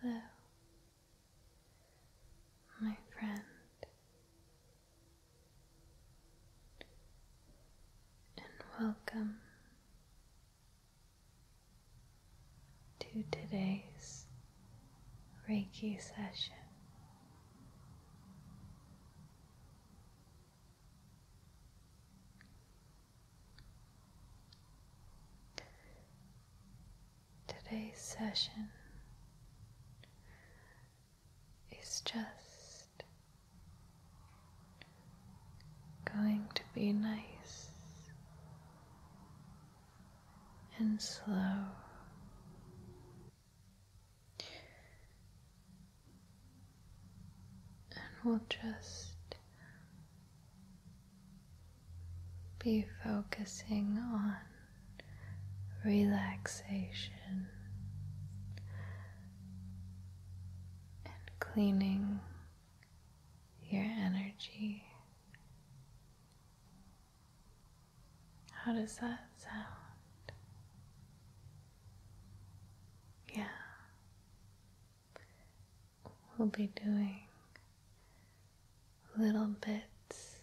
Hello, my friend, and welcome to today's Reiki session. Today's session is just going to be nice and slow and we'll just be focusing on relaxation and cleaning your energy. How does that sound? Yeah. We'll be doing little bits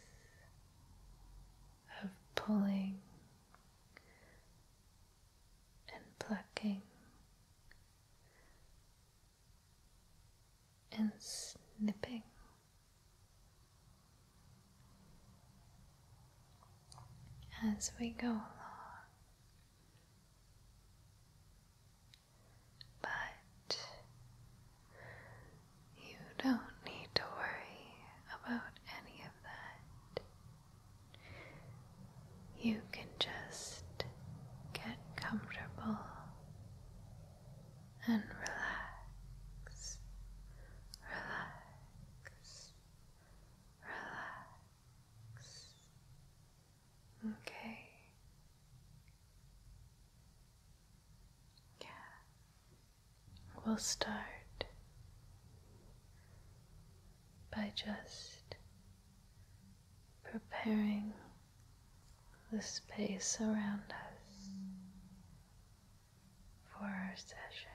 of pulling and plucking and snipping as we go along. But you don't need to worry about any of that. You can just get comfortable and relax, relax, relax. Okay. Yeah. We'll start by just preparing the space around us for our session.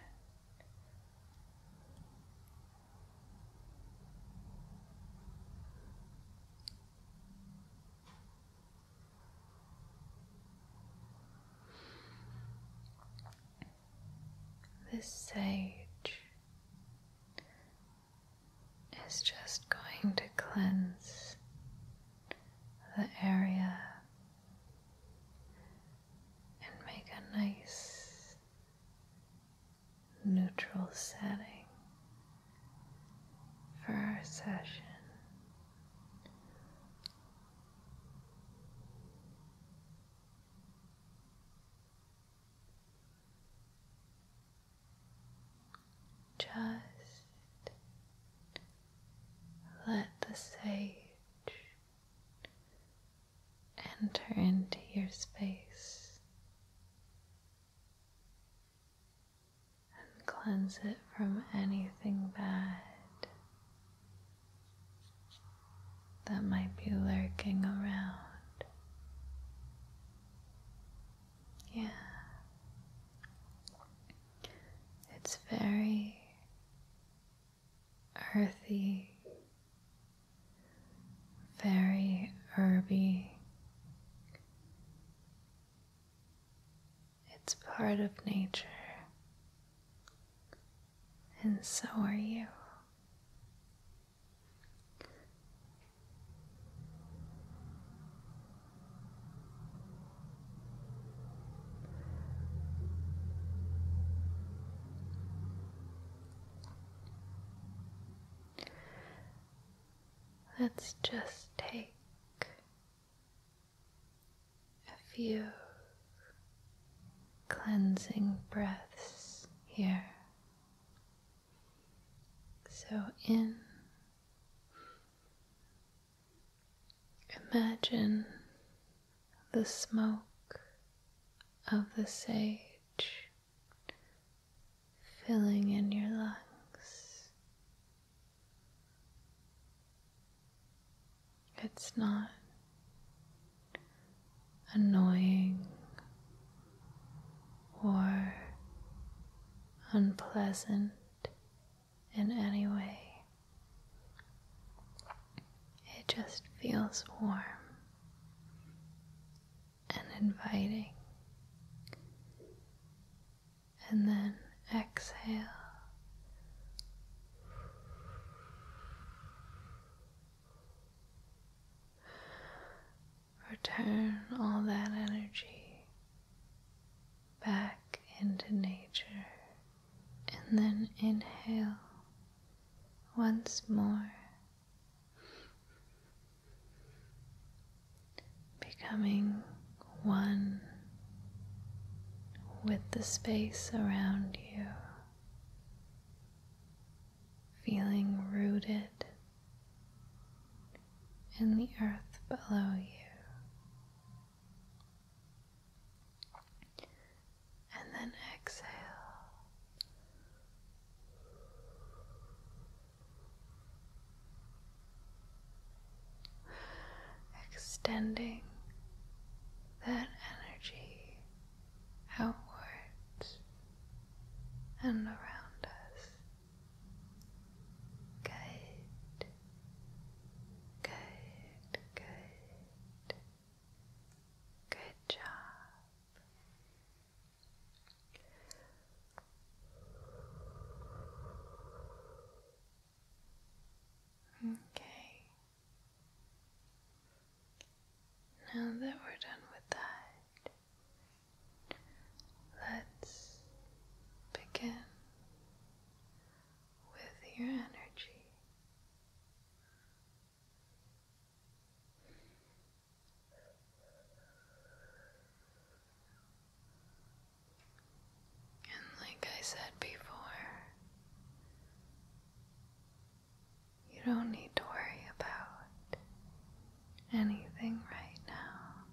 This sage is just going to cleanse the area and make a nice neutral setting for our session. Just let the sage enter into your space and cleanse it from anything bad that might be lurking around. Yeah. It's very earthy, very herby. It's part of nature, and so are you. Let's just take a few cleansing breaths here. So in Imagine the smoke of the sage filling in your lungs. It's not annoying or unpleasant in any way. It just feels warm and inviting. And then exhale. Return all that energy back into nature and then inhale once more, becoming one with the space around you, feeling rooted in the earth below you and then exhale. Extending that energy outwards and around us. Good. Good, good. Good job. Okay. Now that we're done with that, let's begin with your energy. And like I said before, you don't need to worry about anything right now.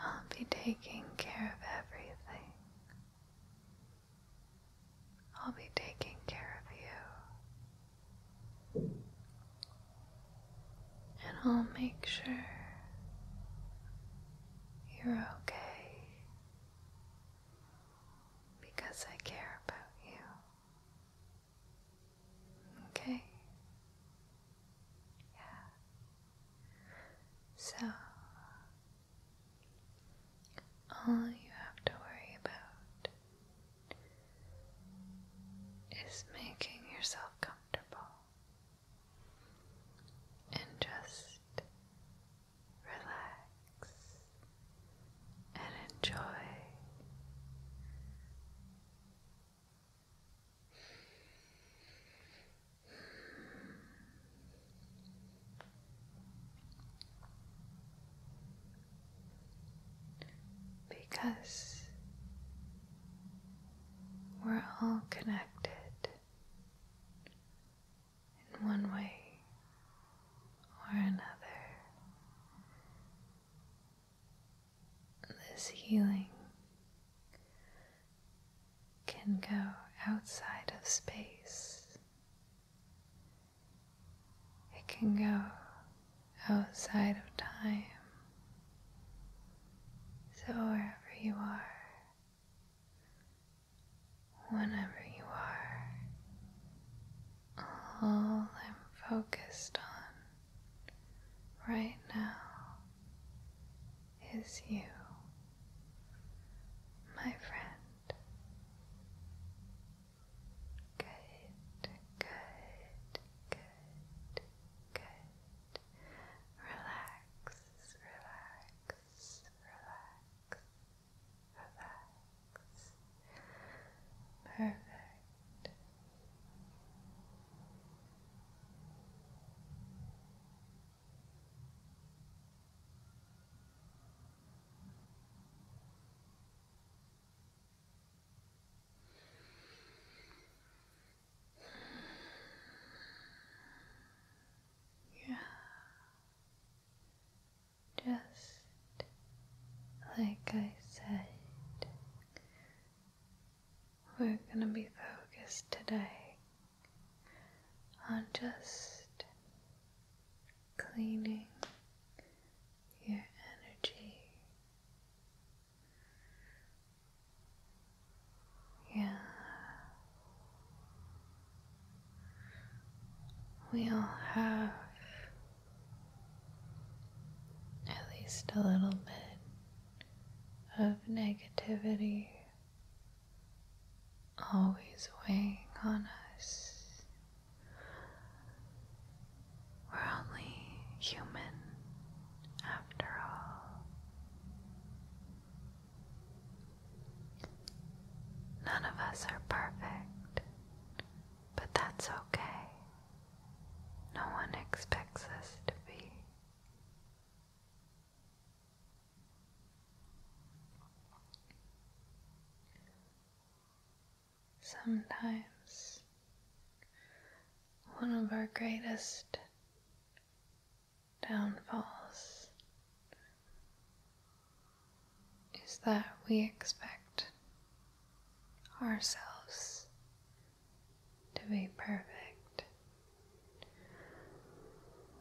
I'll be taking care of everything. I'll be taking care of you. And I'll make sure you're okay because I care about you. Okay? Yeah. So, all you have to worry about is making yourself comfortable and just relax and enjoy because we're all connected in one way or another this healing can go outside of space. It can go outside of time. So wherever you are, whenever you are, all I'm focused on right now is you, my friend. Good, good, good, good. Relax, relax, relax, relax. Perfect. Yeah. Just like I said, we're going to be focused today on just cleaning your energy. Yeah. We all have at least a little bit of negativity always weighing on us. We're only human after all. None of us are perfect, but that's okay. No one expects us to be. Sometimes one of our greatest downfalls is that we expect ourselves to be perfect.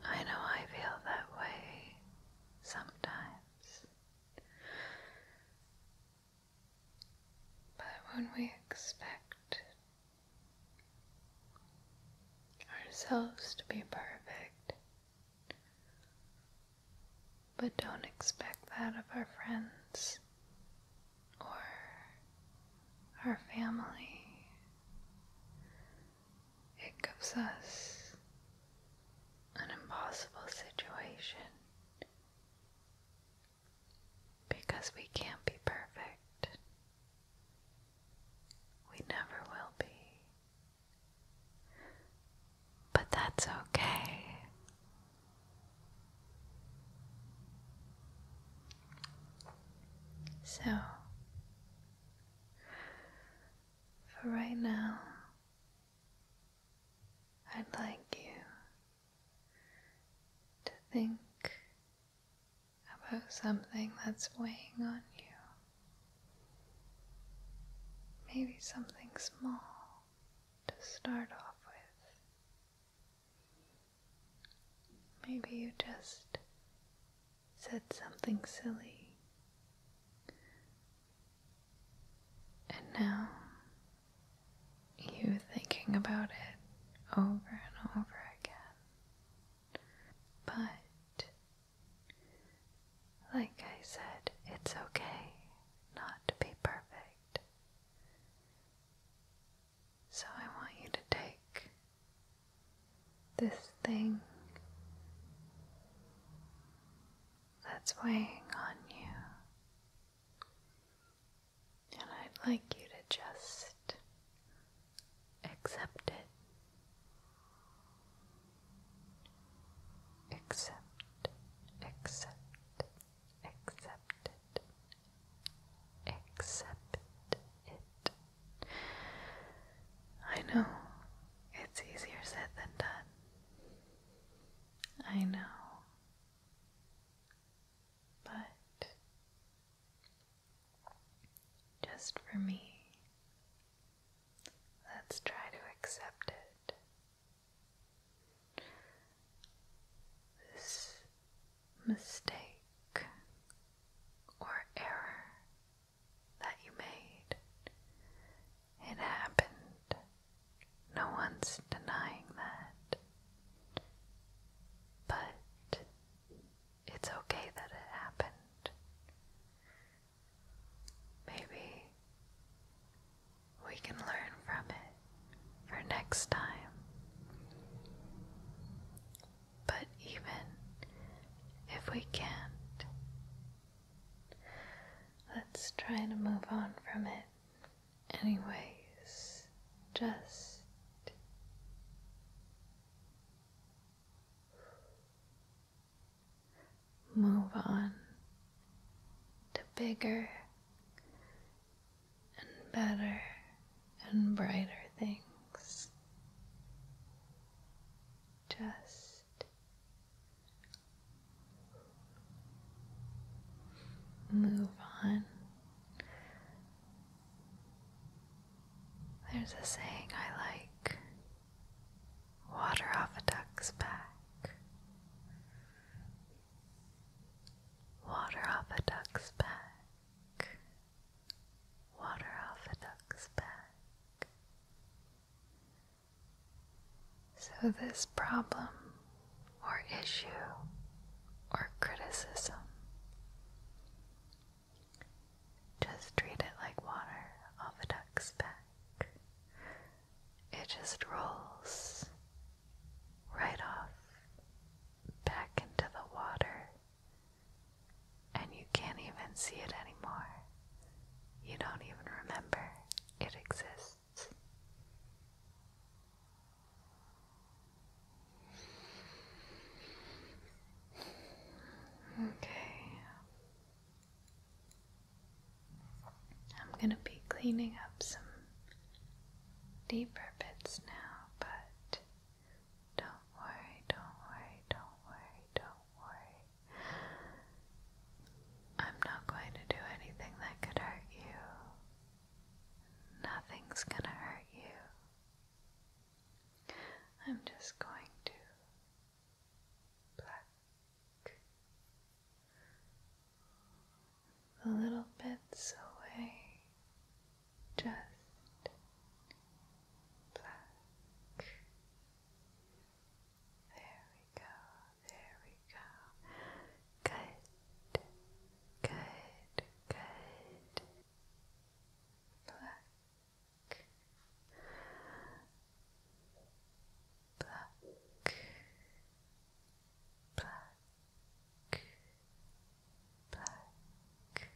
I know I feel that way sometimes. But when we expect ourselves to be perfect, but don't expect that of our friends or our family. It gives us an impossible situation because we can't be perfect. We never will be. But that's okay. So, for right now, I'd like you to think about something that's weighing on you. Maybe something small to start off with. Maybe you just said something silly. And now you are thinking about it over and over again. But, like I said, it's okay not to be perfect. So I want you to take this thing that's weighing on you, and I'd like you to just accept it. Accept, accept, accept it, accept it. I know it's easier said than done. I know, but just for me, let's try to accept it this mistake or error that you made. It happened. No one's denying that. But it's okay that it happened. Maybe we can learn from it for next time. But even if we can't, let's try to move on from it, anyways. Just move on to bigger and better and brighter things. Just move on. There's a saying I like water off a duck's back. Water off a duck's back. Water off a duck's back. So, this problem or issue or criticism, just treat it like water off a duck's back. It just rolls right off back into the water, and you can't even see it anymore. You don't even remember it exists. Okay. I'm going to be cleaning up some deeper bits now, but don't worry, don't worry, don't worry, don't worry. I'm not going to do anything that could hurt you. Nothing's gonna hurt you. I'm just going to pluck, the little bits away, just black. There we go, there we go. Good, good, good. Black. Black, black, black, black.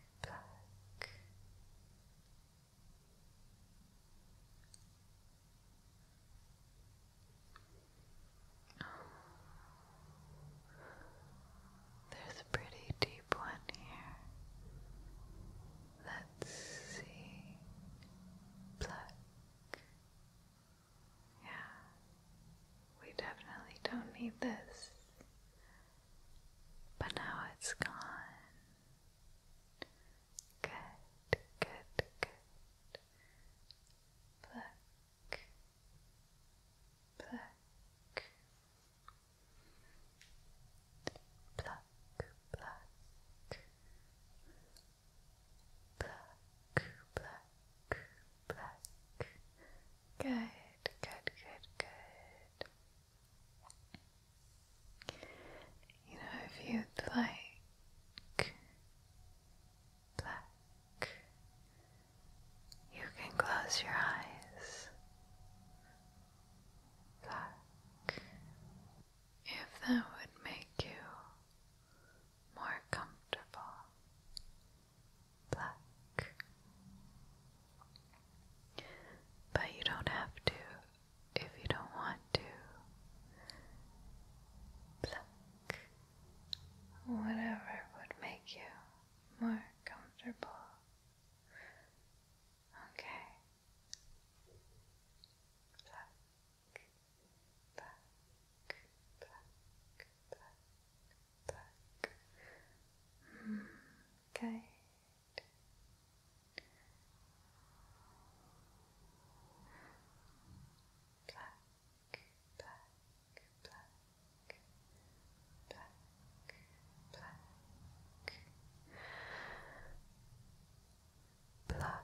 There's a pretty deep one here. Let's see. Black, yeah, we definitely don't need this. But now it's gone. Good, good, good. Pluck, pluck, pluck, pluck, Black, black, black. Good, good, good, good. You know, if you'd like black, you can close your eyes. Black. If that would make you more comfortable black. But you don't have to if you don't want to. Black. Whatever would make you more comfortable. Okay. Black back, back, back, back. Mm, Black, black, black, black, black. Black,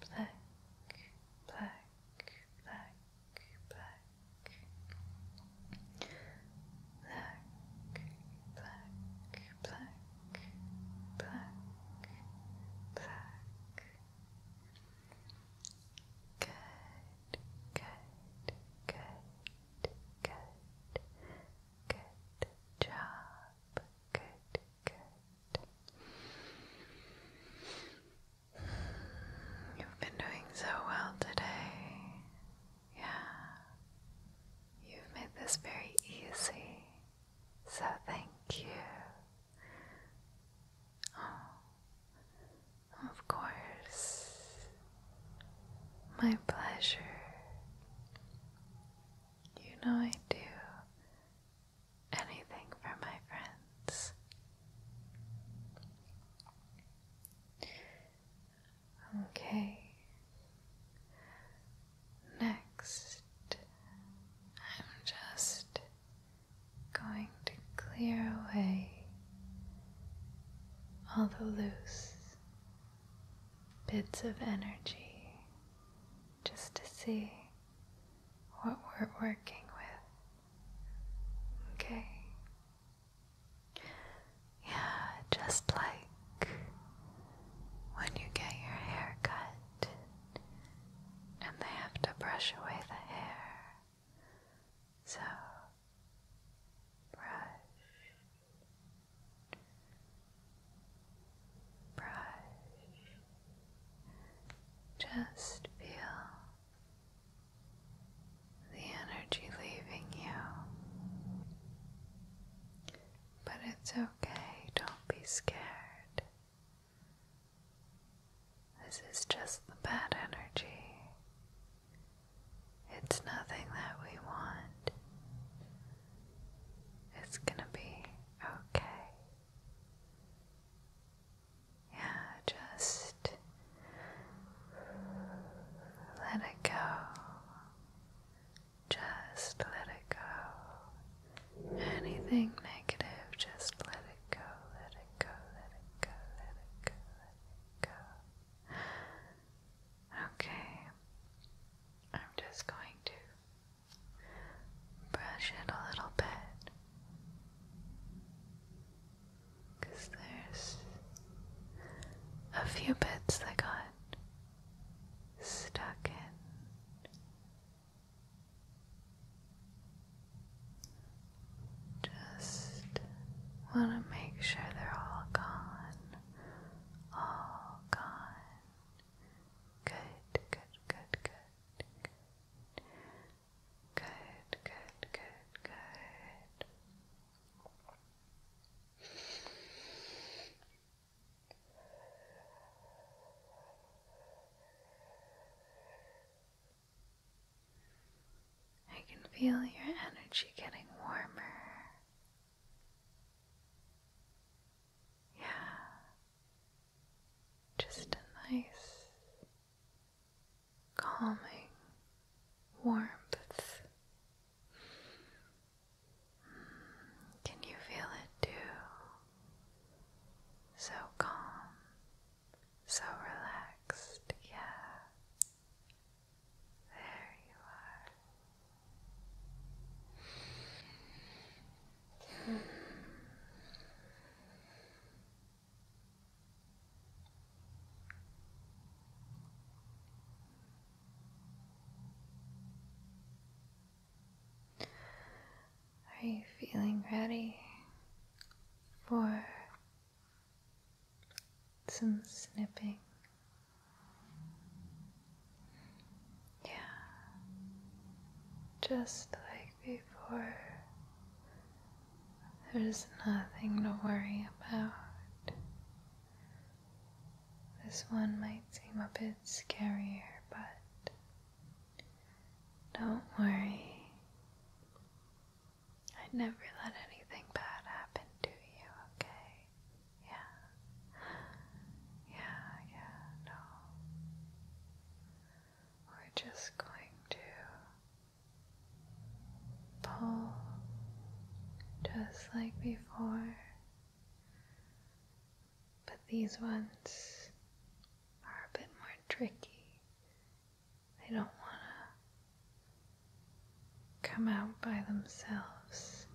black, black, black, black, black, black, black, black, black. Good, good, good, good, Good job. Good, good. You've been doing so well today. Yeah. You've made this very easy. So thank you. Oh, of course my pleasure. You know I do anything for my friends. Okay. Next, I'm just going to clear away all the loose bits of energy just to see what we're working with. Okay? Yeah, just like when you get your hair cut and they have to brush away the hair. So, brush brush. Just feel the energy leaving you. But it's okay, don't be scared. This is just the bad energy. It's nothing that we want. It's gonna be okay. Yeah, just let it go. Just let it go. Anything negative, just let it go, let it go, let it go, let it go, let it go. Okay, I'm just going to brush it a little bit there's a few bits that got stuck in. Just want to make sure they're all gone all gone. Good, good, good, good, good. Good, good, good, good. I can feel your energy getting warmer. Yeah, just a nice, calming warmth. Mm, can you feel it too? So calm, so relaxed, yeah. There you are. Are you feeling ready for some snipping. Yeah, just like before, there's nothing to worry about. This one might seem a bit scarier, but don't worry. I'd never let anything bad happen to you, okay? Yeah. Yeah, yeah, no. We're just going to pull just like before, but these ones are a bit more tricky they don't want to come out by themselves.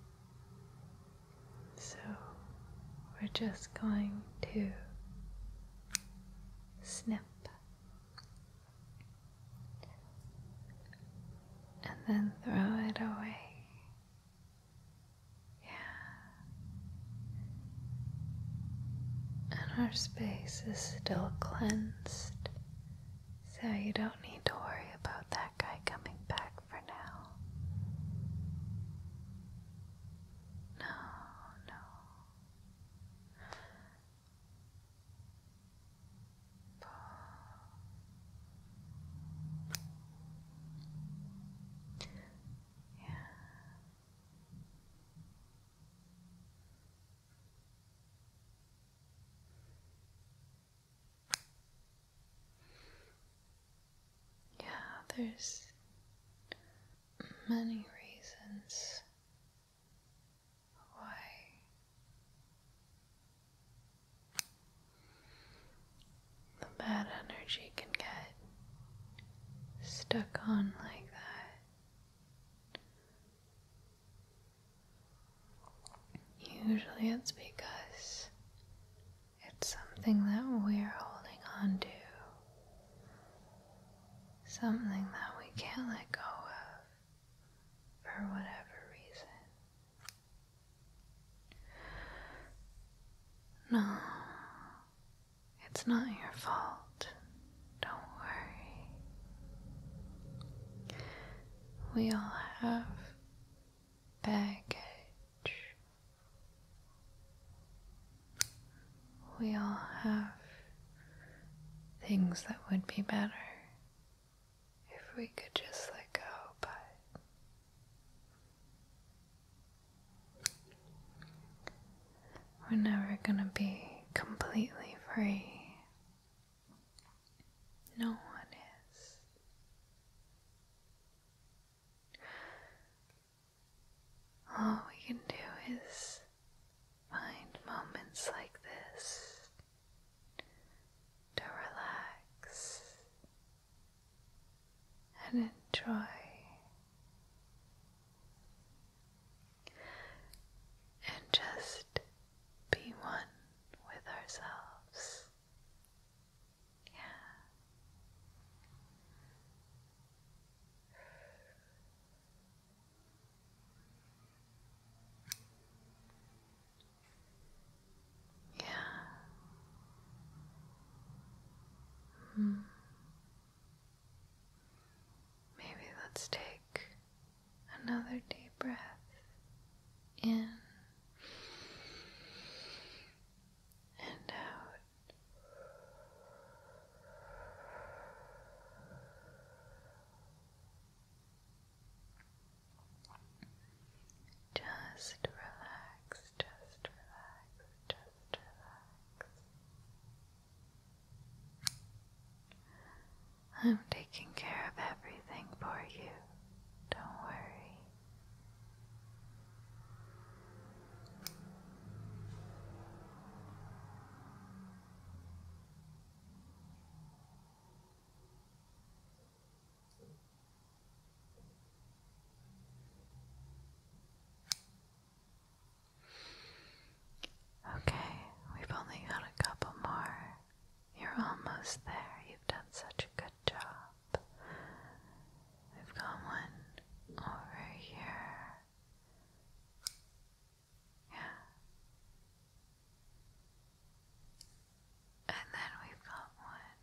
So we're just going to snip. And then throw it away. Yeah. And our space is still cleansed so you don't need to worry about that guy coming back for now. No, no. Yeah. Yeah, there's many reasons why the bad energy can get stuck on like that. Usually it's because it's something that we're holding on to, something that we can't let go of for whatever reason. No, it's not your fault. Don't worry. We all have baggage. We all have things that would be better if we could just let go, but we're never going to be completely free. No one is. All we can do is find moments like this to relax and enjoy and just be one with ourselves. Yeah. Yeah. Mm. Maybe let's take another deep breath in and out. Just relax, just relax, just relax. I'm taking care of everything for you. Don't worry. Okay, we've only got a couple more. You're almost there. You've done such a good job. We've got one over here. Yeah. And then we've got one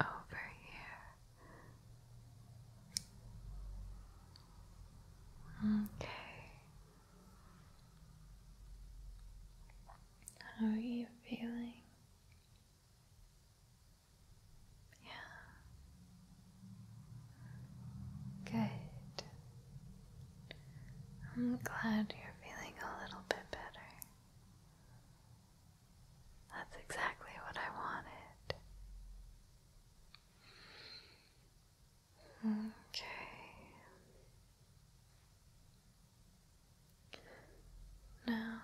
over here. Okay. How are you feeling? Yeah. Good. I'm glad you're feeling a little bit better. That's exactly what I wanted. Okay. Now,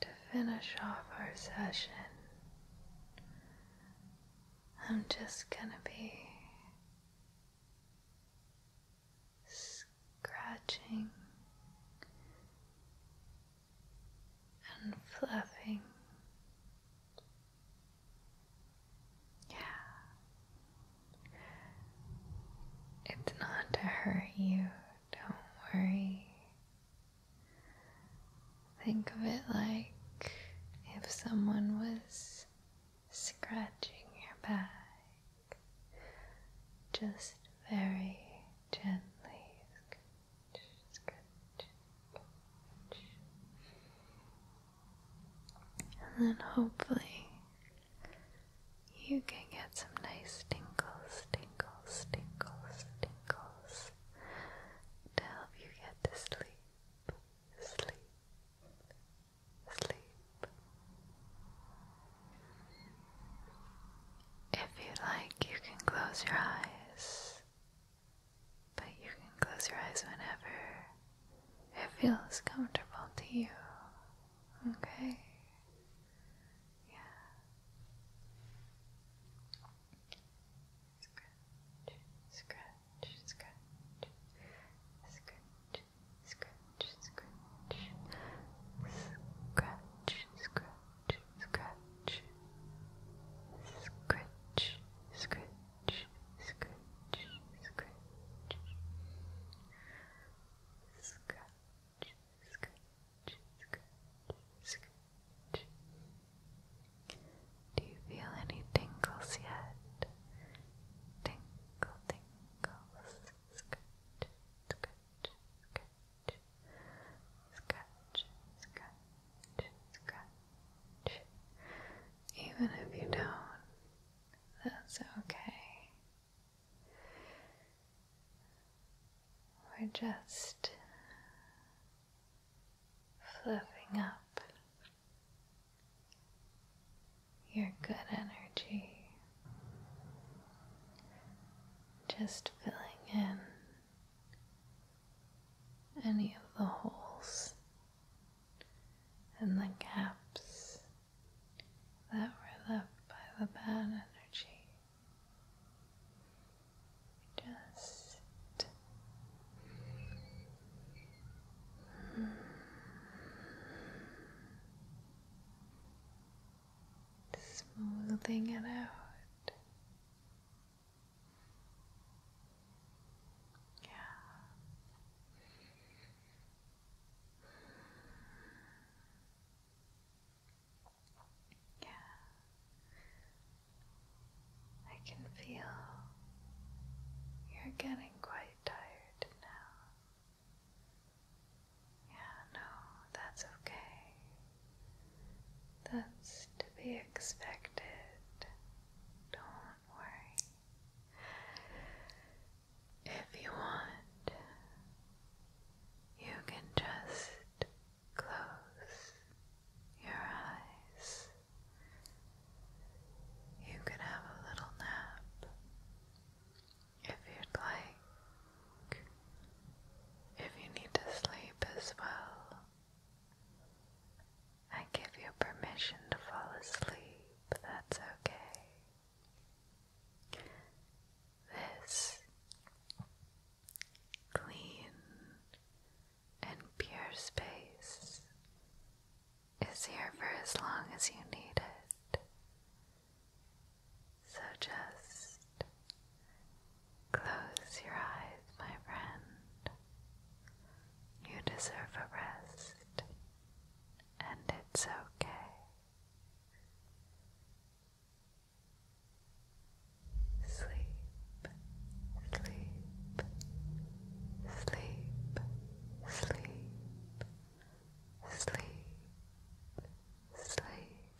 to finish off our session, I'm just going to be scratching and flapping. Yeah. It's not to hurt you, don't worry. Think of it like if someone was scratching your back, just very gently and then hopefully you can get some nice tingles, tingles, tingles, tingles to help you get to sleep, sleep, sleep. If you would like, you can close your eyes. But you can close your eyes whenever it feels comfortable to you. Okay? Yeah. Scratch, scratch, scratch, scratch, scratch, scratch, scratch, scratch scratch, scratch, scratch, scratch, scratch, scratch, scratch, scratch. Do you feel any tingles yet? Tingle, tingles, scratch, scratch, scratch, scratch, scratch, scratch. Even if you don't, that's okay. We're just fluffing up your good energy, just filling in any of the holes and the gaps that were left by the bad energy. Just smoothing it out. Yeah. Yeah. I can feel you're getting quite tired now. Yeah, no, that's okay. That's to be expected. Don't worry. If you want, you can just close your eyes. You could have a little nap if you'd like if you need to sleep as well. I give you permission to fall asleep, that's okay. This clean and pure space is here for as long as you need it. So just close your eyes, my friend. You deserve a rest, and it's okay. Sleep, sleep, sleep, sleep, sleep, sleep,